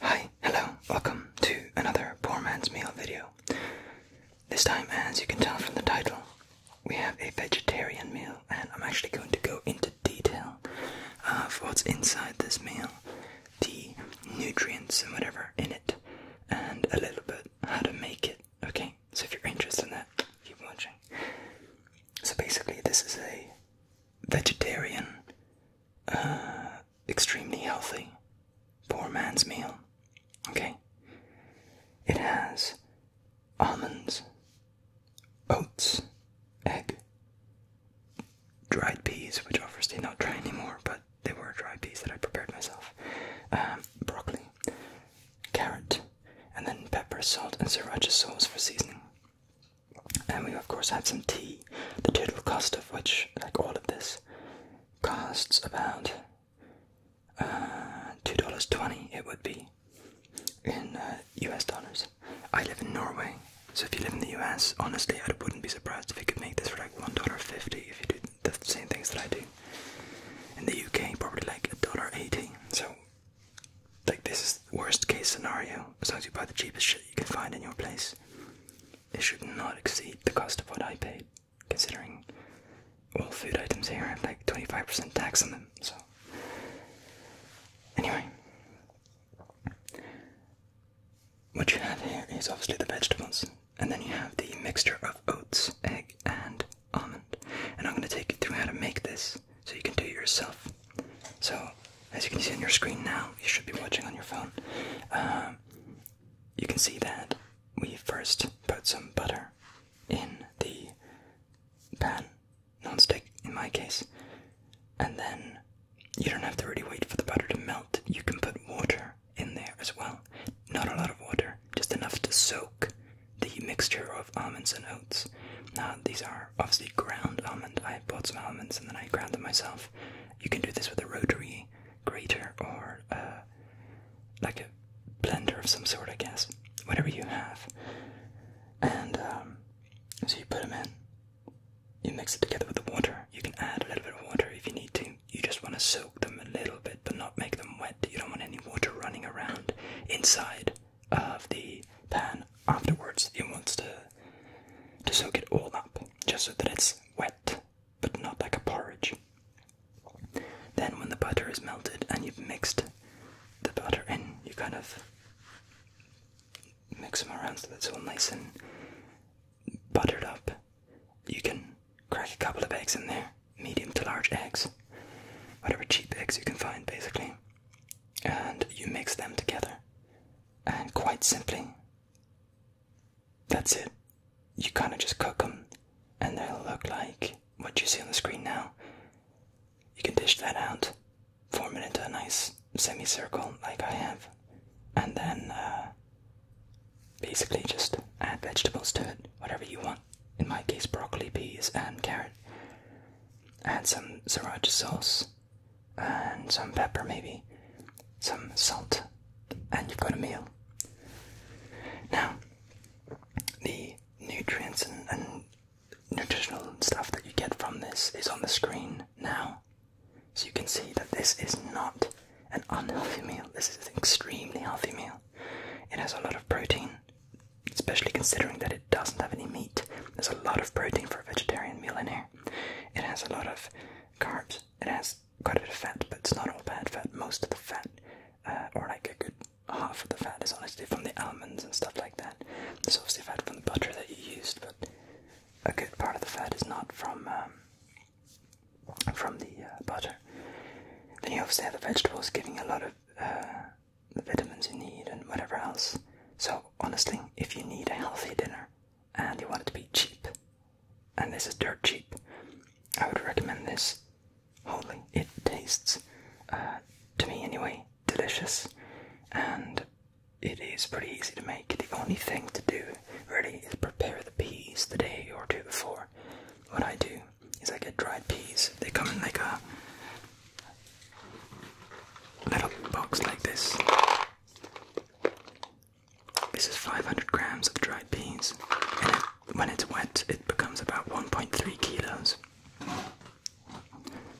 Hi, hello, welcome to another Poor Man's Meal video. This time, as you can tell from the title, we have a vegetarian meal, and I'm actually going to go into detail uh, of what's inside this meal, the nutrients and whatever in it, and a little bit how to make it, okay? So if you're interested in that, keep watching. So basically, this is a vegetarian, uh, extremely healthy, poor man's meal. Okay? It has almonds, oats, egg, dried peas, which obviously not dry anymore, but they were dried peas that I prepared myself, um, broccoli, carrot, and then pepper, salt, and sriracha sauce for seasoning. And we, of course, had some tea, the total cost of which, like all of this, costs about uh, $2.20 it would be in US uh, dollars. I live in Norway, so if you live in the US, honestly, I wouldn't be surprised if you could make this for like $1.50 if you did the same things that I do. In the UK, probably like a dollar eighty. So, like this is worst case scenario. As long as you buy the cheapest shit you can find in your place, it should not exceed the cost of what I paid, considering all food items here have like twenty five percent tax on them. So, anyway. What you have here is obviously the vegetables. And then you have the mixture of oats, egg, and almond. And I'm going to take you through how to make this so you can do it yourself. So, as you can see on your screen now, you should be watching on your phone, um, you can see that we first put some butter in the pan, non-stick in my case, and then you don't have to really wait for the butter to melt. You can put water in there as well. Not a lot of water, just enough to soak the mixture of almonds and oats. Now, these are obviously ground almond. I bought some almonds and then I ground them myself. You can do this with a rotary grater or uh, like a blender of some sort, I guess. Whatever you have. And um, so you put them in, you mix it together with the water. You can add a little bit of water if you need to you just want to soak them a little bit but not make them wet. You don't want any water running around inside of the pan afterwards. It wants to to soak it all up just so that it's wet but not like a porridge. Then when the butter is melted and you've mixed the butter in, you kind of mix them around so that it's all nice and buttered up you can crack a couple of eggs in there, medium to large eggs, whatever cheap eggs you can find basically, and you mix them together. And quite simply, that's it. You kind of just cook them, and they'll look like what you see on the screen now. You can dish that out, form it into a nice semicircle like I have, and then uh, Basically, just add vegetables to it, whatever you want. In my case, broccoli, peas, and carrot. Add some sriracha sauce and some pepper, maybe, some salt, and you've got a meal. Now, the nutrients and, and nutritional stuff that you get from this is on the screen now. So you can see that this is not an unhealthy meal. This is an extremely healthy meal. It has a lot of protein, especially considering that it doesn't have any meat. There's a lot of protein for a vegetarian meal in here. It has a lot of carbs. It has quite a bit of fat, but it's not all bad fat. Most of the fat, uh, or like a good half of the fat, is honestly from the almonds and stuff like that. There's obviously fat from the butter that you used, but a good part of the fat is not from um, from the uh, butter. Then you obviously have the vegetables giving a lot of uh, the vitamins you need and whatever else. So honestly, if you need a healthy dinner and you want it to be cheap, and this is dirt cheap, I would recommend this wholly. It tastes, uh, to me anyway, delicious, and it is pretty easy to make. The only thing to do really is prepare the peas the day or two before what I do is I get dried peas. They come in like a little box like this. This is 500 grams of dried peas, and when it's wet, it becomes about 1.3 kilos.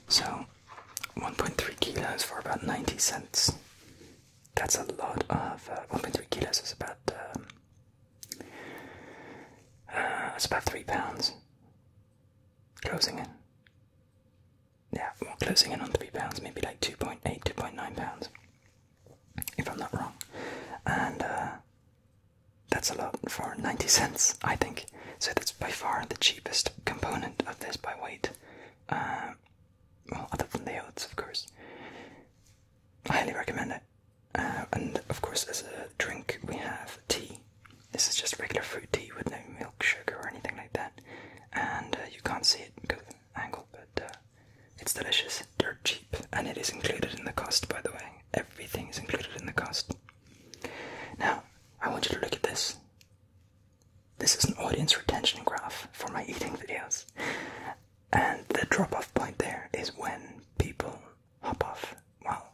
So, 1.3 kilos for about 90 cents. That's a lot of uh, 1.3 kilos. It's about um, uh, it's about three pounds. Closing in. Yeah, well, closing in on three pounds, maybe like 2.8, 2.9 pounds, if I'm not wrong. And uh, that's a lot for 90 cents, I think. So that's by far the cheapest component of this by weight well, other than the oats, of course. I highly recommend it. Uh, and of course, as a drink, we have tea. This is just regular fruit tea with no milk, sugar, or anything like that. And uh, you can't see it because of the angle, but uh, it's delicious, dirt cheap, and it is included in the cost, by the way. Everything is included in the cost. Now, I want you to look at this. This is an audience retention graph for my eating videos. And the drop off point there is when people hop off. Well,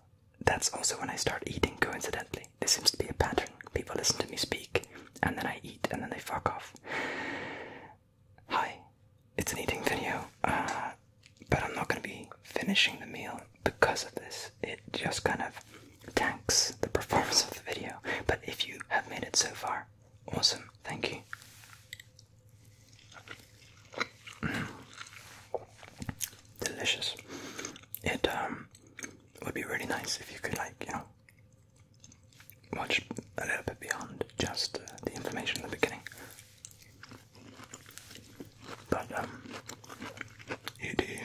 that's also when I start eating, coincidentally. This seems to be a pattern. People listen to me speak, and then I eat, and then they fuck off. Hi, it's an eating video, uh, but I'm not gonna be finishing the meal because of this. It just kind of tanks the performance of the video. But if you have made it so far, Awesome, thank you. Mm. Delicious. Um, it would be really nice if you could like, you know, watch a little bit beyond just uh, the information in the beginning. But um you do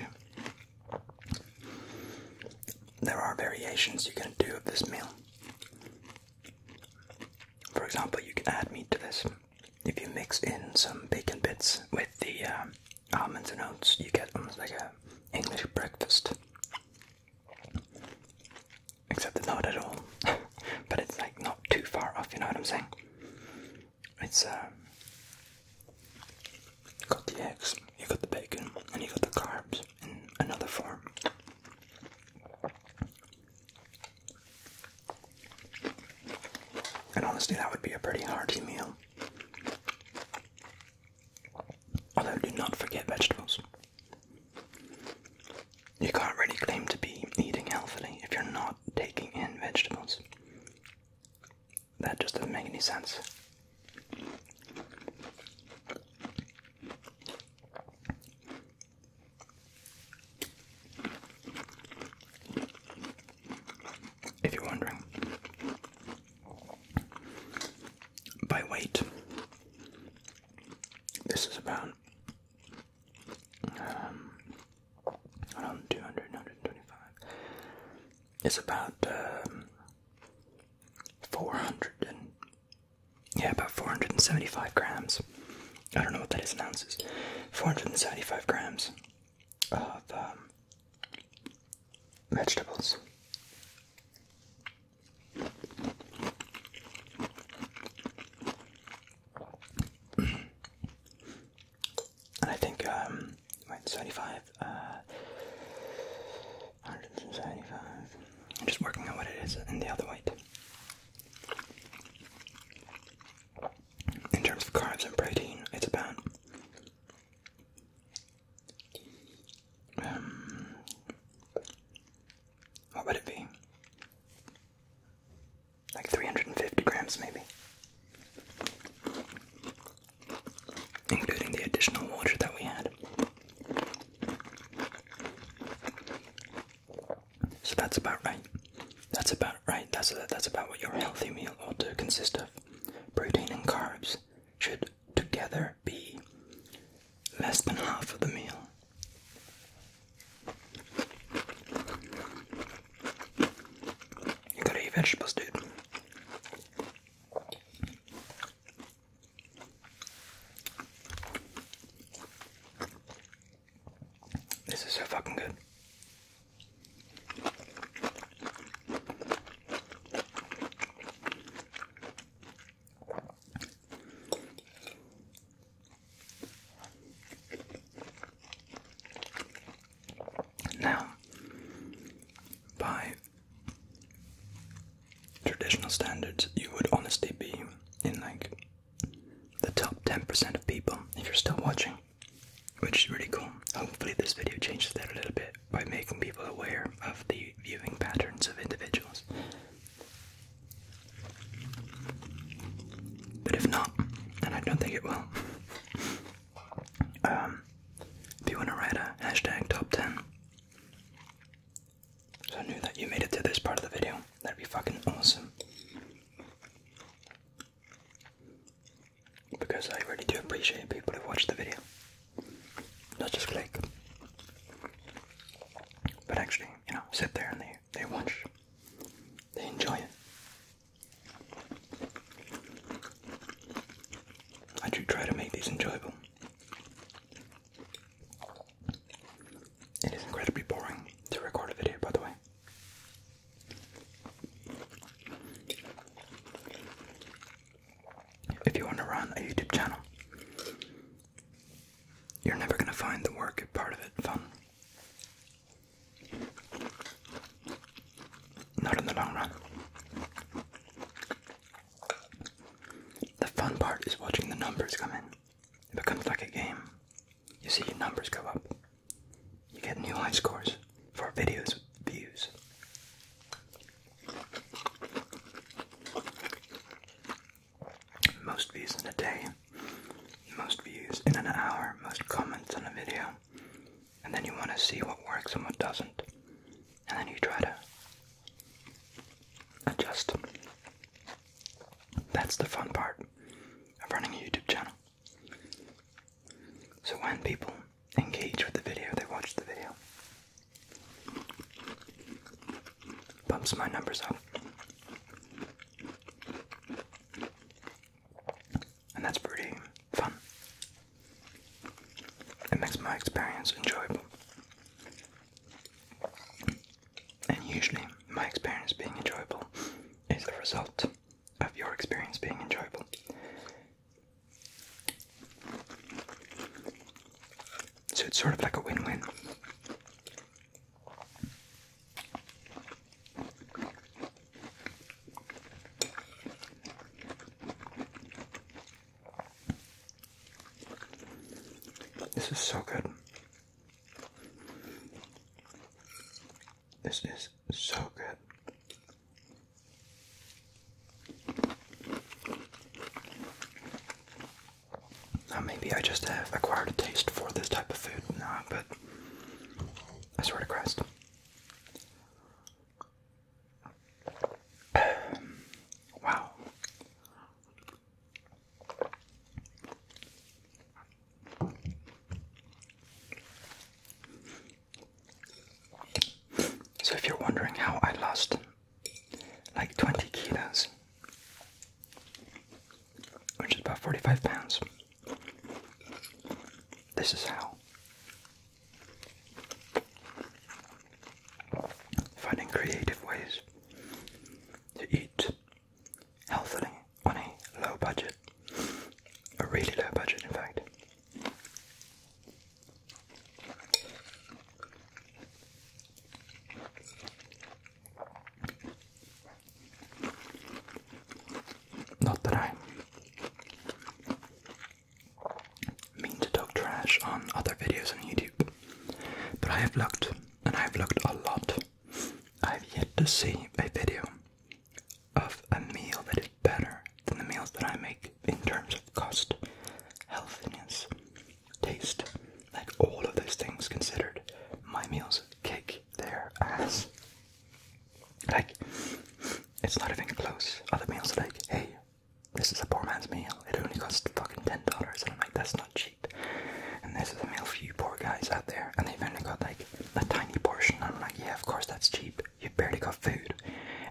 there are variations you can do of this meal. For example, you can add meat to this. If you mix in some bacon bits with the um, almonds and oats, you get almost like a English breakfast. Except it's not at all. but it's like not too far off, you know what I'm saying? It's uh, got the eggs, you got the bacon, and you got the carbs another form. And honestly, that would be a pretty hearty meal. Although, do not forget vegetables. You can't really claim to be eating healthily if you're not taking in vegetables. That just doesn't make any sense. If you're wondering, by weight, this is about um, around 200, It's about um, 400 and yeah, about 475 grams. I don't know what that is in ounces. 475 grams of um, vegetables. and I think, um, wait, I'm uh, just working on what it is in the other weight. In terms of carbs and protein, it's about um, what would it be? Like 350 grams, maybe including the additional water that we had. So that's about right. That's about right. That's that's about what your healthy meal ought to consist of. Protein and carbs should together be less than half of the meal. You gotta eat vegetables, dude. This is so fucking good. Now, by traditional standards, you would honestly be in like the top 10% of people if you're still watching, which is really cool. Hopefully, this video changes that a little bit by making people aware of the viewing patterns of individuals. But if not, and I don't think it will, um, if you want to write a hashtag top 10 so I knew that you made it to this part of the video. That'd be fucking awesome. Because I really do appreciate people who watch the video. Not just click. But actually, you know, sit there and they, they watch. They enjoy it. I do try to make these enjoyable. It is incredibly boring to record a video, by the way. If you want to run a YouTube channel, you're never going to find the work part of it fun. Not in the long run. The fun part is watching the numbers come in. It becomes like a game. You see your numbers go up. You get new high scores for videos views. Most views in a day, most views in an hour, most comments on a video, and then you want to see what works and what doesn't. And then you try to adjust. That's the fun part of running a YouTube channel. So when people engage with the video, they watch the video. Bumps my numbers up. And that's pretty fun. It makes my experience enjoyable. And usually, my experience being enjoyable is the result of your experience being enjoyable. So it's sort of like a win win. This is so good. This is so good. Now, maybe I just have acquired a taste for this type of food now, but I swear to Christ wow. So, if you're wondering how I lost like 20 kilos, which is about 45 pounds, this is how. Finding creative ways to eat healthily on a low budget, a really low budget, in fact. Not that i mean to talk trash on other videos on YouTube, but I have looked, and I have looked a lot. I have yet to see a video of a meal that is better than the meals that I make in terms of cost, healthiness, taste, like all of those things considered. My meals kick their ass. Like, it's not even close. Other meals are like, hey, this is a poor man's meal. It only costs fucking ten dollars, and I'm like, that's not cheap. And this is a meal for you poor guys out there, and they've only got like a tiny portion. I'm like, yeah, of course that's cheap. You barely got food.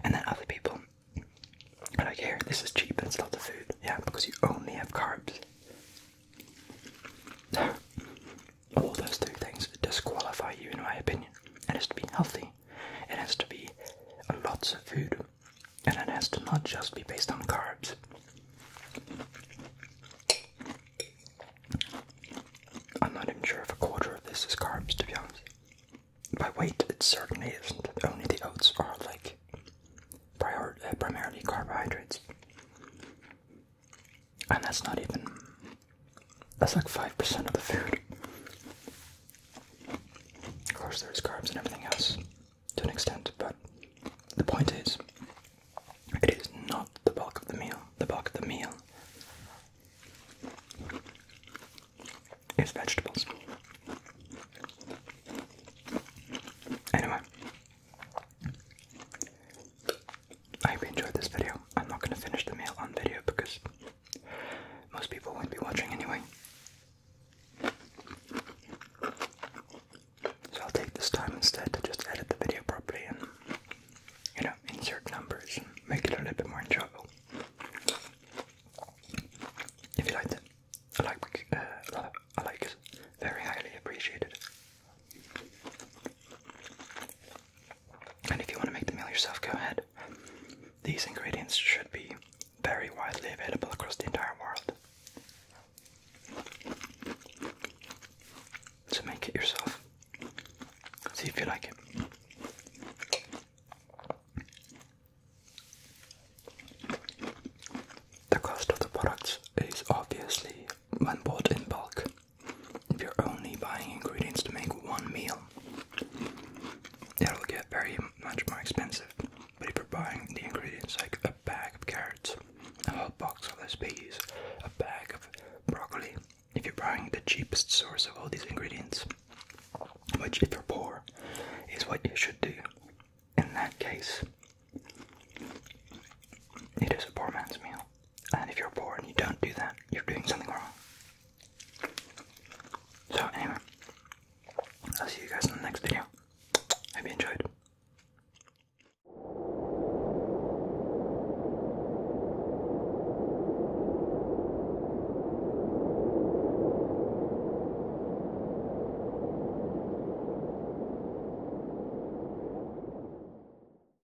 And then other people are like, here, this is cheap. That's lots of food. Yeah, because you only have carbs. All those two things disqualify you, in my opinion. It has to be healthy, it has to be lots of food, and it has to not just be based on carbs. I'm not even sure if a quarter of this is carbs, to be honest. By weight, it certainly isn't. Only the oats are like uh, primarily carbohydrates. And that's not even, that's like 5% of the food. Of course, there's carbs and everything else to an extent, but the point is, it is not the bulk of the meal. The bulk of the meal is vegetables. Anyway, I hope you enjoyed this video. I'm not going to finish the meal on video because most people won't be watching anyway. So I'll take this time instead to just edit the video properly and, you know, insert numbers make it a little bit more enjoyable. If you liked it, like, uh, I like it very highly appreciated. And if you want to make the meal yourself, go ahead. These ingredients should be very widely available across the entire world. So make it yourself. See if you like it. The cost of the products is obviously when bought in bulk, if you're only buying ingredients to make one meal, it'll get very much more expensive. But if you're buying the ingredients like a bag of carrots, a box of those peas, a bag of broccoli, if you're buying the cheapest source of all these ingredients, which if you're poor is what you should do, in that case, it is a poor man's meal. And if you're poor and you don't do that, you're doing something wrong. So, anyway, I'll see you guys in the next video. Hope you enjoyed.